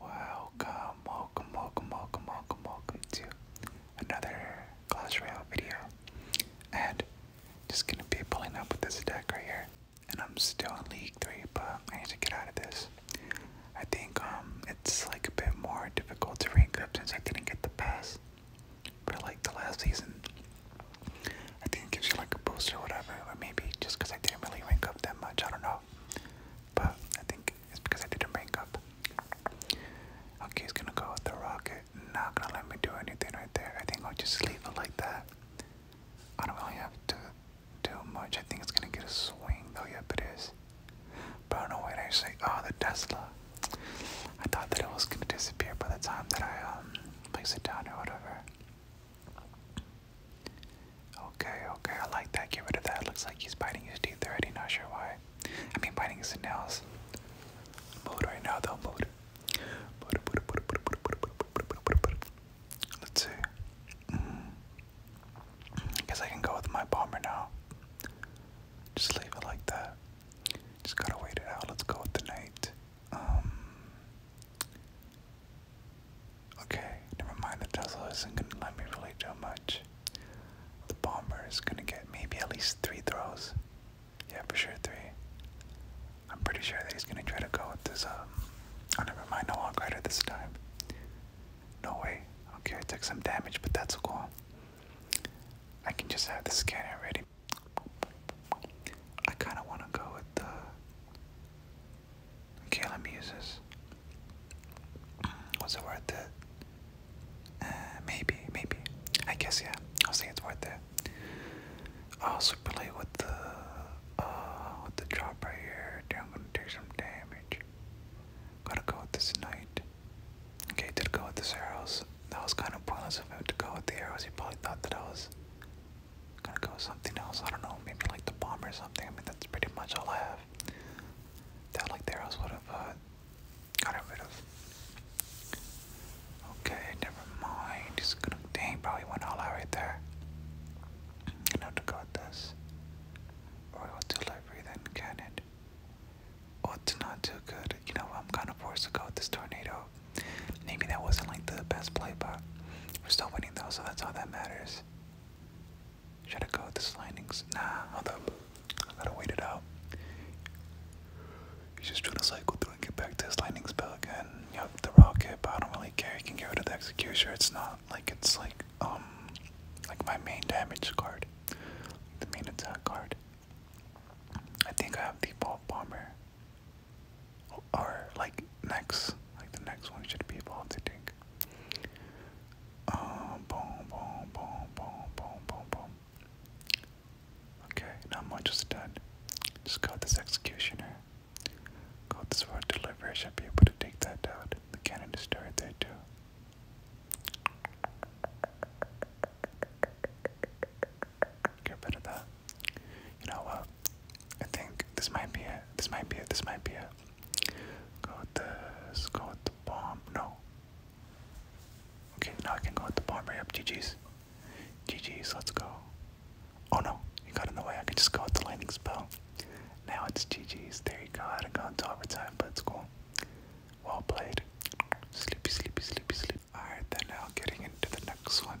Welcome, welcome, welcome, welcome, welcome, welcome to another Clash Royale video. And just gonna be pulling up with this deck right here. And I'm still in League 3, but I need to get out of this. I think um it's like a bit more difficult to rank up since I didn't get the pass. But like the last season, I think it gives you like a boost or whatever, or maybe just because I didn't really rank up that much, I don't know. But I think it's because I didn't rank Okay, he's gonna go with the rocket. Not gonna let me do anything right there. I think I'll just leave it like that. I don't really have to do much. I think it's gonna get a swing though. Yep, it is. But I don't know why I say, oh, the Tesla. I thought that it was gonna disappear by the time that I um, place it down or whatever. Okay, okay, I like that. Get rid of that. Looks like he's biting his teeth already. Not sure why. I mean, biting his nails. Mood right now, though. Mood. Let's see. Mm. I guess I can go with my bomber now. Just leave it like that. Just gotta wait it out. Let's go with the knight. Um, Okay, never mind. The Tesla isn't gonna let me really do much. The bomber is gonna get maybe at least three throws. Yeah, for sure three. I'm pretty sure that he's gonna try to go with this. Um, oh, never mind. No I'll walk rider this time. No way. Okay, I took some damage, but that's cool. I can just have the scanner ready. I kind of want to go with the Caleb muses. Was it worth it? Uh, maybe, maybe. I guess yeah. I'll say it's worth it. I'll super late with the uh with the drop right here. Dude, I'm gonna take some damage. Gotta go with this knight. Okay, did go with this arrows. That was kind of pointless of him to go with the arrows. He probably thought that I was Gonna go something else. I don't know. Maybe like the bomb or something. I mean, that's pretty much all I have. That like there else would have uh, got rid of. Okay, never mind. He's gonna dang probably went all out right there. Gonna to go with this. Royal to library then cannon. Oh, it's not too good. You know, I'm kind of forced to go with this tornado. Maybe that wasn't like the best play, but we're still winning though, so that's all that matters. Should I go with the slidings? Nah, although I gotta wait it out. He's just trying to cycle through and get back to his lightning spell again. Yep, the rocket, but I don't really care. You can get rid of the executioner. It's not like it's like um like my main damage card. The main attack card. I think I have the bomb bomber or like next, like the next one should be evolved, I think. Um, boom, boom, boom, boom, boom, boom, boom. Okay, not much is done. Just got this executioner. Got this road delivery. I should be able to take that out. The cannon is right there too. Get rid of that. You know what? I think this might be it. This might be it. This might be it. Go with this. Go with the bomb. No. Okay, now I can go with the bomb right up. GG's. GG's, let's go. Oh no, you got in the way. I can just go with the lightning spell. Now it's GG's. There you go. I had gone to time, but it's cool. Well played. Sleepy, sleepy, sleepy, sleepy. Alright, then now getting into the next one.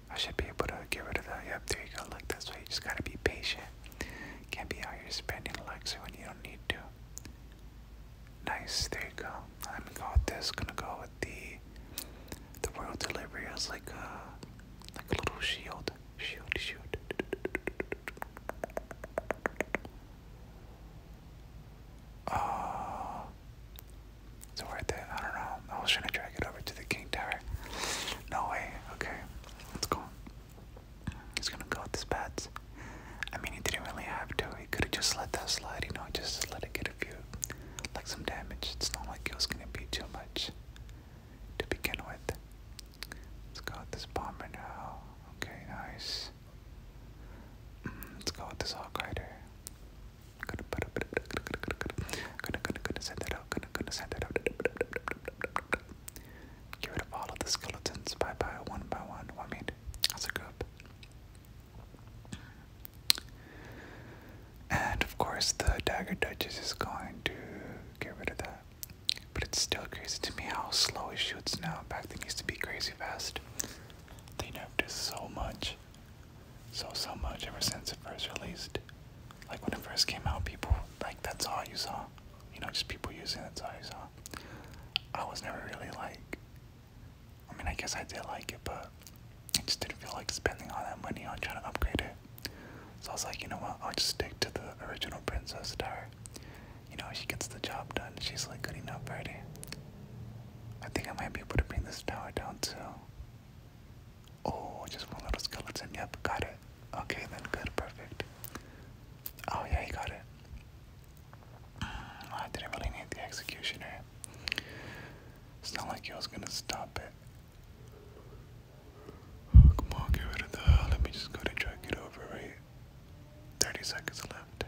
I should be able to get rid of that. Yep, there you go. Look, that's why you just gotta be patient. Can't be out here spending Alexa when you don't need to. Nice, there you go. I'm gonna go with this. Gonna go with the the world delivery as like a like a little shield, shield, shield. Uh, so worth it. I don't know. No, should I drag it over to the king tower? No way. Okay, let's go. He's gonna go with his bats. I mean, he didn't really have to. He could have just let that slide, you know, just let it get a few, like some damage. It's not like it was gonna be too much to begin with. Let's go with this bomber now. Okay, nice. Mm, let's go with this hawk rider. Gonna put a Get rid of all of the skeletons. Bye bye, one by one. I mean, as a group. And of course, the Dagger Duchess is going to get rid of that. But it's still crazy to me how slow he shoots now. Back then, he used to be crazy fast. They nerfed it so much so so much ever since it first released. Like when it first came out, people like that's all you saw. You know, just people using it, that's all you saw. I was never really like I mean I guess I did like it but I just didn't feel like spending all that money on trying to upgrade it. So I was like, you know what, I'll just stick to the original Princess Tower. You know, she gets the job done. She's like good enough already. I think I might be able to bring this tower down too. Oh, just one little skeleton. Yep, got it. Okay, then good, perfect. Oh yeah, he got it. Mm, I didn't really need the executioner. It's not like you was gonna stop it. Oh, come on, get rid of the. Let me just go to drag it over, right? 30 seconds left.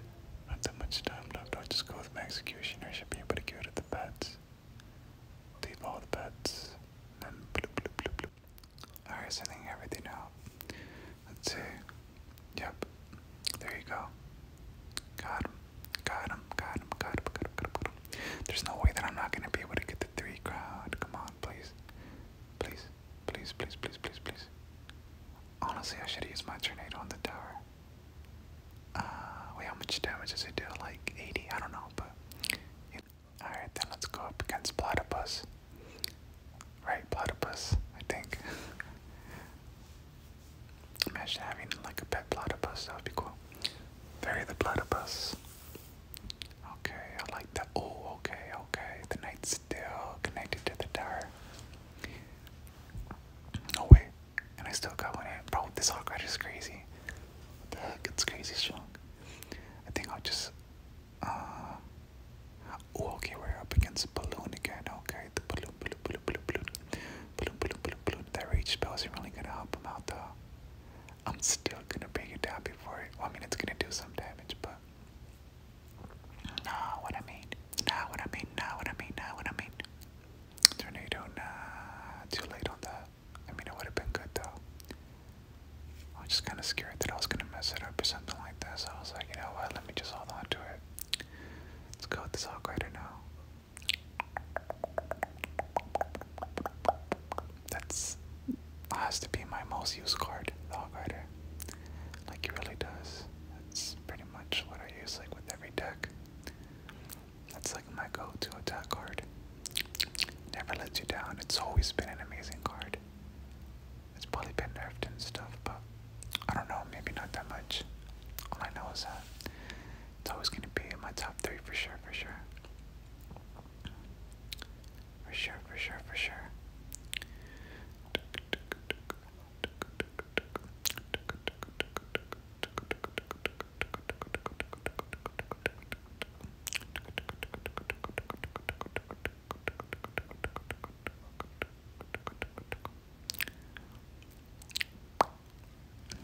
Not that much time left. I'll just go with my executioner. should be able to get rid of the bats. Leave all the pets. And then bloop, bloop, bloop, bloop. Alright, sending everything out. Let's see. Yep. There you go. Got him. Got him. Got him. Got him. Got him. Got him. Got him. There's no way that I'm not gonna be able to get the three crowd. Come on, please. Please. Please, please, please, please, please. Honestly, I should use my tornado on the tower. Uh, wait, how much damage does it do? Like 80? I don't know, but. Alright, then let's go up against Platypus. Right, Platypus, I think. Imagine having like a pet platypus, that would be cool. Bury the platypus. Okay, I like that. Oh, okay, okay. The night's still connected to the tower. Oh, wait and I still got one hand. Bro, this Hawk Rider is crazy. What the heck? It's crazy strong. I think I'll just. Uh, oh, okay, we're up against Balloon again. Okay, the Balloon, Balloon, Balloon, Balloon, Balloon. Balloon, Balloon, Balloon, Balloon. That Rage Spell isn't really gonna help him out though. I'm still gonna bring it down before it. Well, I mean, it's gonna do some damage, but. Nah, what I mean. Nah, what I mean. Nah, what I mean. Nah, what I mean. Tornado, nah, too late on that. I mean, it would have been good though. I was just kind of scared that I was gonna mess it up or something like that, so I was like, you know what, let me just hold on to it. Let's go with this Hawkrider now. That's has to be my most used card, the Hawkrider. Like it really does. That's pretty much what I use like with every deck. That's like my go-to attack card. Never lets you down. It's always been an amazing card. It's probably been nerfed and stuff, but I don't know, maybe not that much. All I know is that it's always gonna be in my top three for sure, for sure. For sure, for sure, for sure.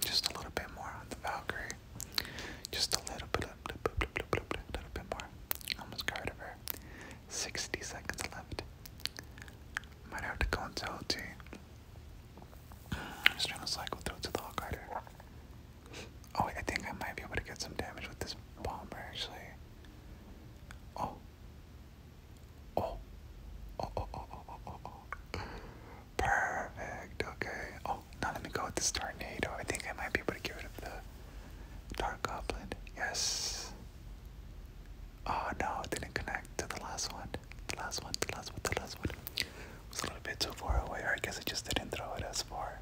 Just a little bit more on the Valkyrie. Just a little bit, more. Almost got rid her. 60 seconds left. Might have to go into OT i just trying to cycle through to the Hawk Rider. Oh, I think I might be able to get some damage with this bomber, actually. Oh. Oh. oh, oh, oh, oh, oh, oh, oh. Perfect, okay. Oh, now let me go with this tornado. I think I might be able to get rid of the Dark Goblin. Yes. Oh no, it didn't connect to the last one. The last one, the last one, the last one. It was a little bit too far away, or I guess I just didn't throw it as far.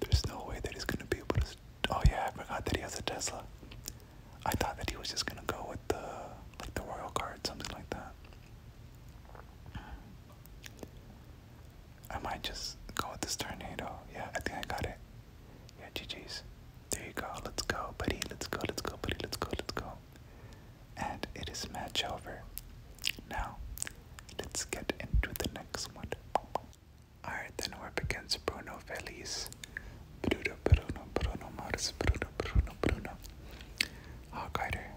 There's no way that he's gonna be able to. Oh yeah, I forgot that he has a Tesla. I thought that he was just gonna go with the like the royal guard something like that. I might just go with this tornado. Yeah, I think I got it. Yeah, GG's. There you go. Let's go, buddy. Let's go, let's go, buddy. Let's go, let's go. And it is match over. Now, let's get into the next one. Alright, then we're against Bruno Feliz. Bruno, Bruno, Bruno Mars, Bruno, Bruno, Bruno. Hawk Rider.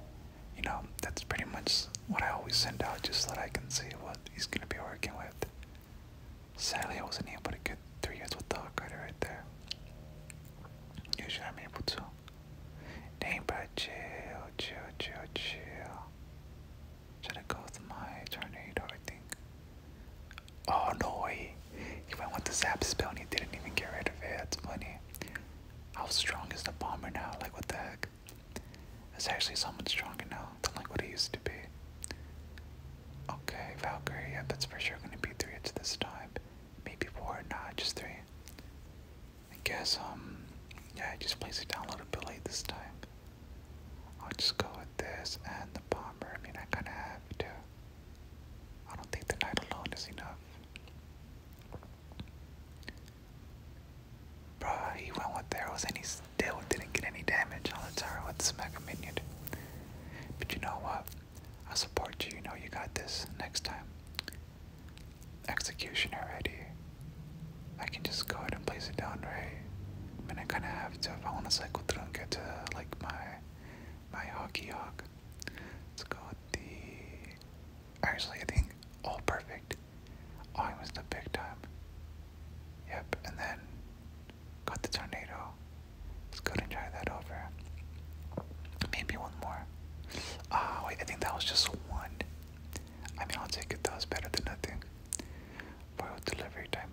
You know, that's pretty much what I always send out just so that I can see what he's going to be working with. Sadly, I wasn't able to get three years with the Hawkrider right there. Usually, I'm able to. Name, but chill, chill, chill, chill. Should I go with my tornado? I think. Oh no He went with the zap spell and he didn't even get rid of it. That's funny. How strong is the bomber now? Like what the heck? Is actually someone stronger now than like what he used to be. Okay, Valkyrie, yeah, that's for sure gonna be three hits this time. Maybe four, not just three. I guess, um, yeah, I just place it down a little bit late this time. I'll just go with this and the bomber. I mean, I kinda have to. I don't think the knight alone is enough. Bruh, he went with arrows and he's Dale didn't get any damage on the turret with Smack a Minion. But you know what? I support you. You know you got this next time. Executioner ready. I can just go ahead and place it down, right? I mean, I kind of have to if I want to cycle through and get to, like, my, my hockey hawk. Let's go with the... Actually, I think... Oh, perfect. Oh, I missed the big time. Yep, and then Got the tornado. Let's go and try that over. Maybe one more. Ah, wait, I think that was just one. I mean, I'll take it. That was better than nothing. Boiled delivery time.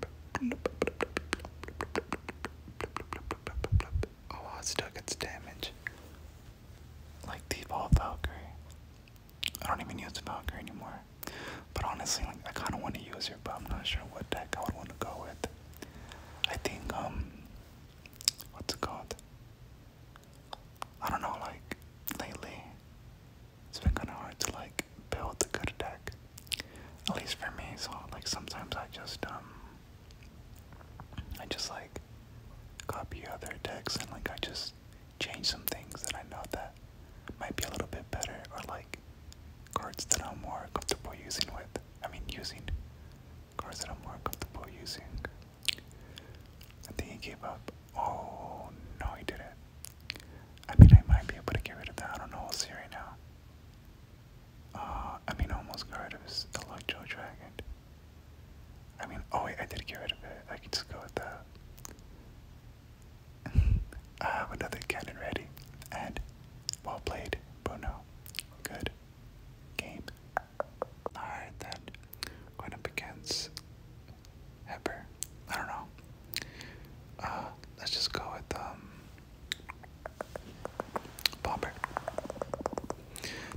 Oh, wow, it still gets damage. Like the evolved Valkyrie. I don't even use Valkyrie anymore. But honestly, like, I kind of want to use her, but I'm not sure what deck I would want to go with. I think, um, what's it called? I don't know, like, lately, it's been kind of hard to, like, build a good deck. At least for me, so, like, sometimes I just, um, I just, like, copy other decks and, like, I just change some things that I know that might be a little bit better, or like cards that I'm more comfortable using with. I mean, using cards that I'm more comfortable using. I think he gave up. Oh no, he didn't. I mean, I might be able to get rid of that. I don't know. i will see right now. Uh, I mean, almost got rid Electro Dragon. I mean, oh wait, I did get rid of it. I can just go with that. I have um, another cannon ready. And well played, Bruno. Good game. Alright then. Going up against Hepper. I don't know. Uh let's just go with um Bomber.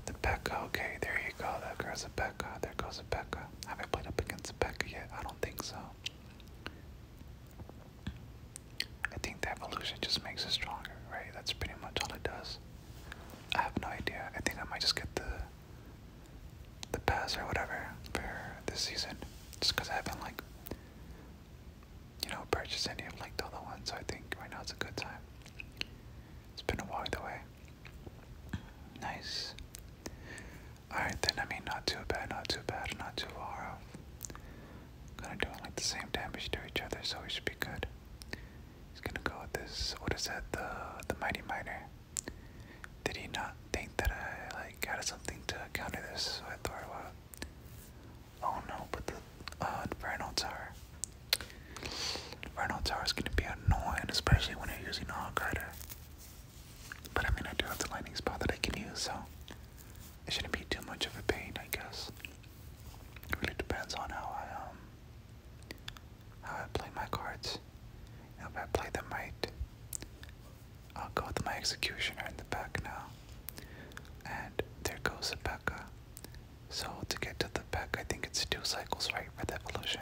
The Pekka, okay, there you go. There goes the Pekka. There goes the Pekka. Have I played up against a Pekka yet? I don't think so. I think the evolution just makes it stronger, right? That's pretty much all it does. I have no idea. I think I might just get the the pass or whatever for this season, just because I haven't like you know purchased any of like the other ones. So I think right now it's a good time. It's been a while either eh? way. Nice. Alright then, I mean, not too bad, not too bad, not too far off. Gonna do like the same damage to each other, so we should be good. He's gonna go with this. What is that? The the mighty miner. Did he not think that I like had something to counter this with, or what? Oh no! But the uh, Inferno Tower. Inferno Tower is gonna be annoying, especially when you're using All Rider. But I mean, I do have the lightning spot that I can use, so it shouldn't be too much of a pain, I guess. It really depends on how um, how I play my cards. if I play them right, I'll go with my executioner in the back now. And there goes the So to get to the P.E.K.K.A, I think it's two cycles right for the evolution.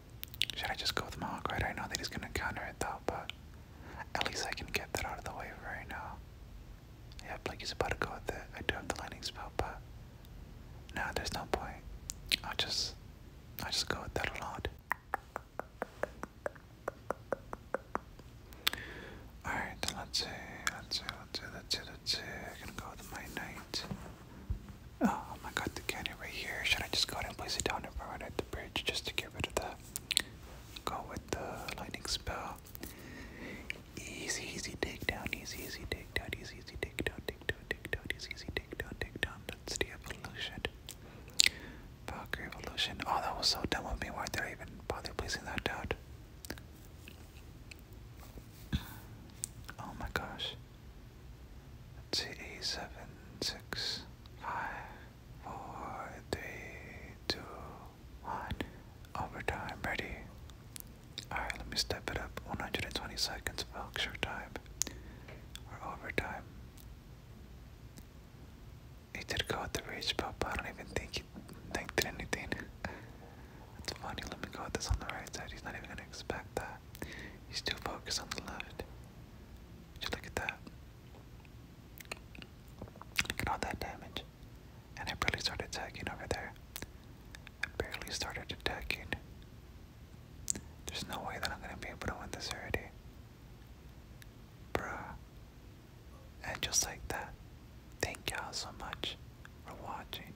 Should I just go with Right, I know that he's gonna counter it though, but at least I can get that out of the way right now. Yeah, Blake he's about to go with that. I do have the lightning spell, but no, there's no point. i just i just go with that alone. Alright, let's see, let's see, let's see, let's see, let I'm gonna go with my knight. Oh my god, the cannon right here. Should I just go ahead and place it down in front at the bridge just to get rid of that? Go with the lightning spell. Easy, easy dig down, easy, easy dig down, easy, easy dig down, dig down, dig down, easy, easy dig down, dig down. That's the evolution. Valkyrie evolution. Oh, that was so dumb of me. Why did I even bother placing that down? Oh my gosh let eight, seven, six, five, four, three, two, one. Overtime, ready. Alright, let me step it up. 120 seconds of extra time. Or overtime. He did go with the reach pop, I don't even think he think did anything. That's funny, let me go with this on the right side. He's not even gonna expect that. He's too focused on the left. Just look at that. Look at all that damage. And I barely started attacking over there. I barely started attacking. There's no way that I'm gonna be able to win this already. Bruh. And just like that, thank y'all so much for watching.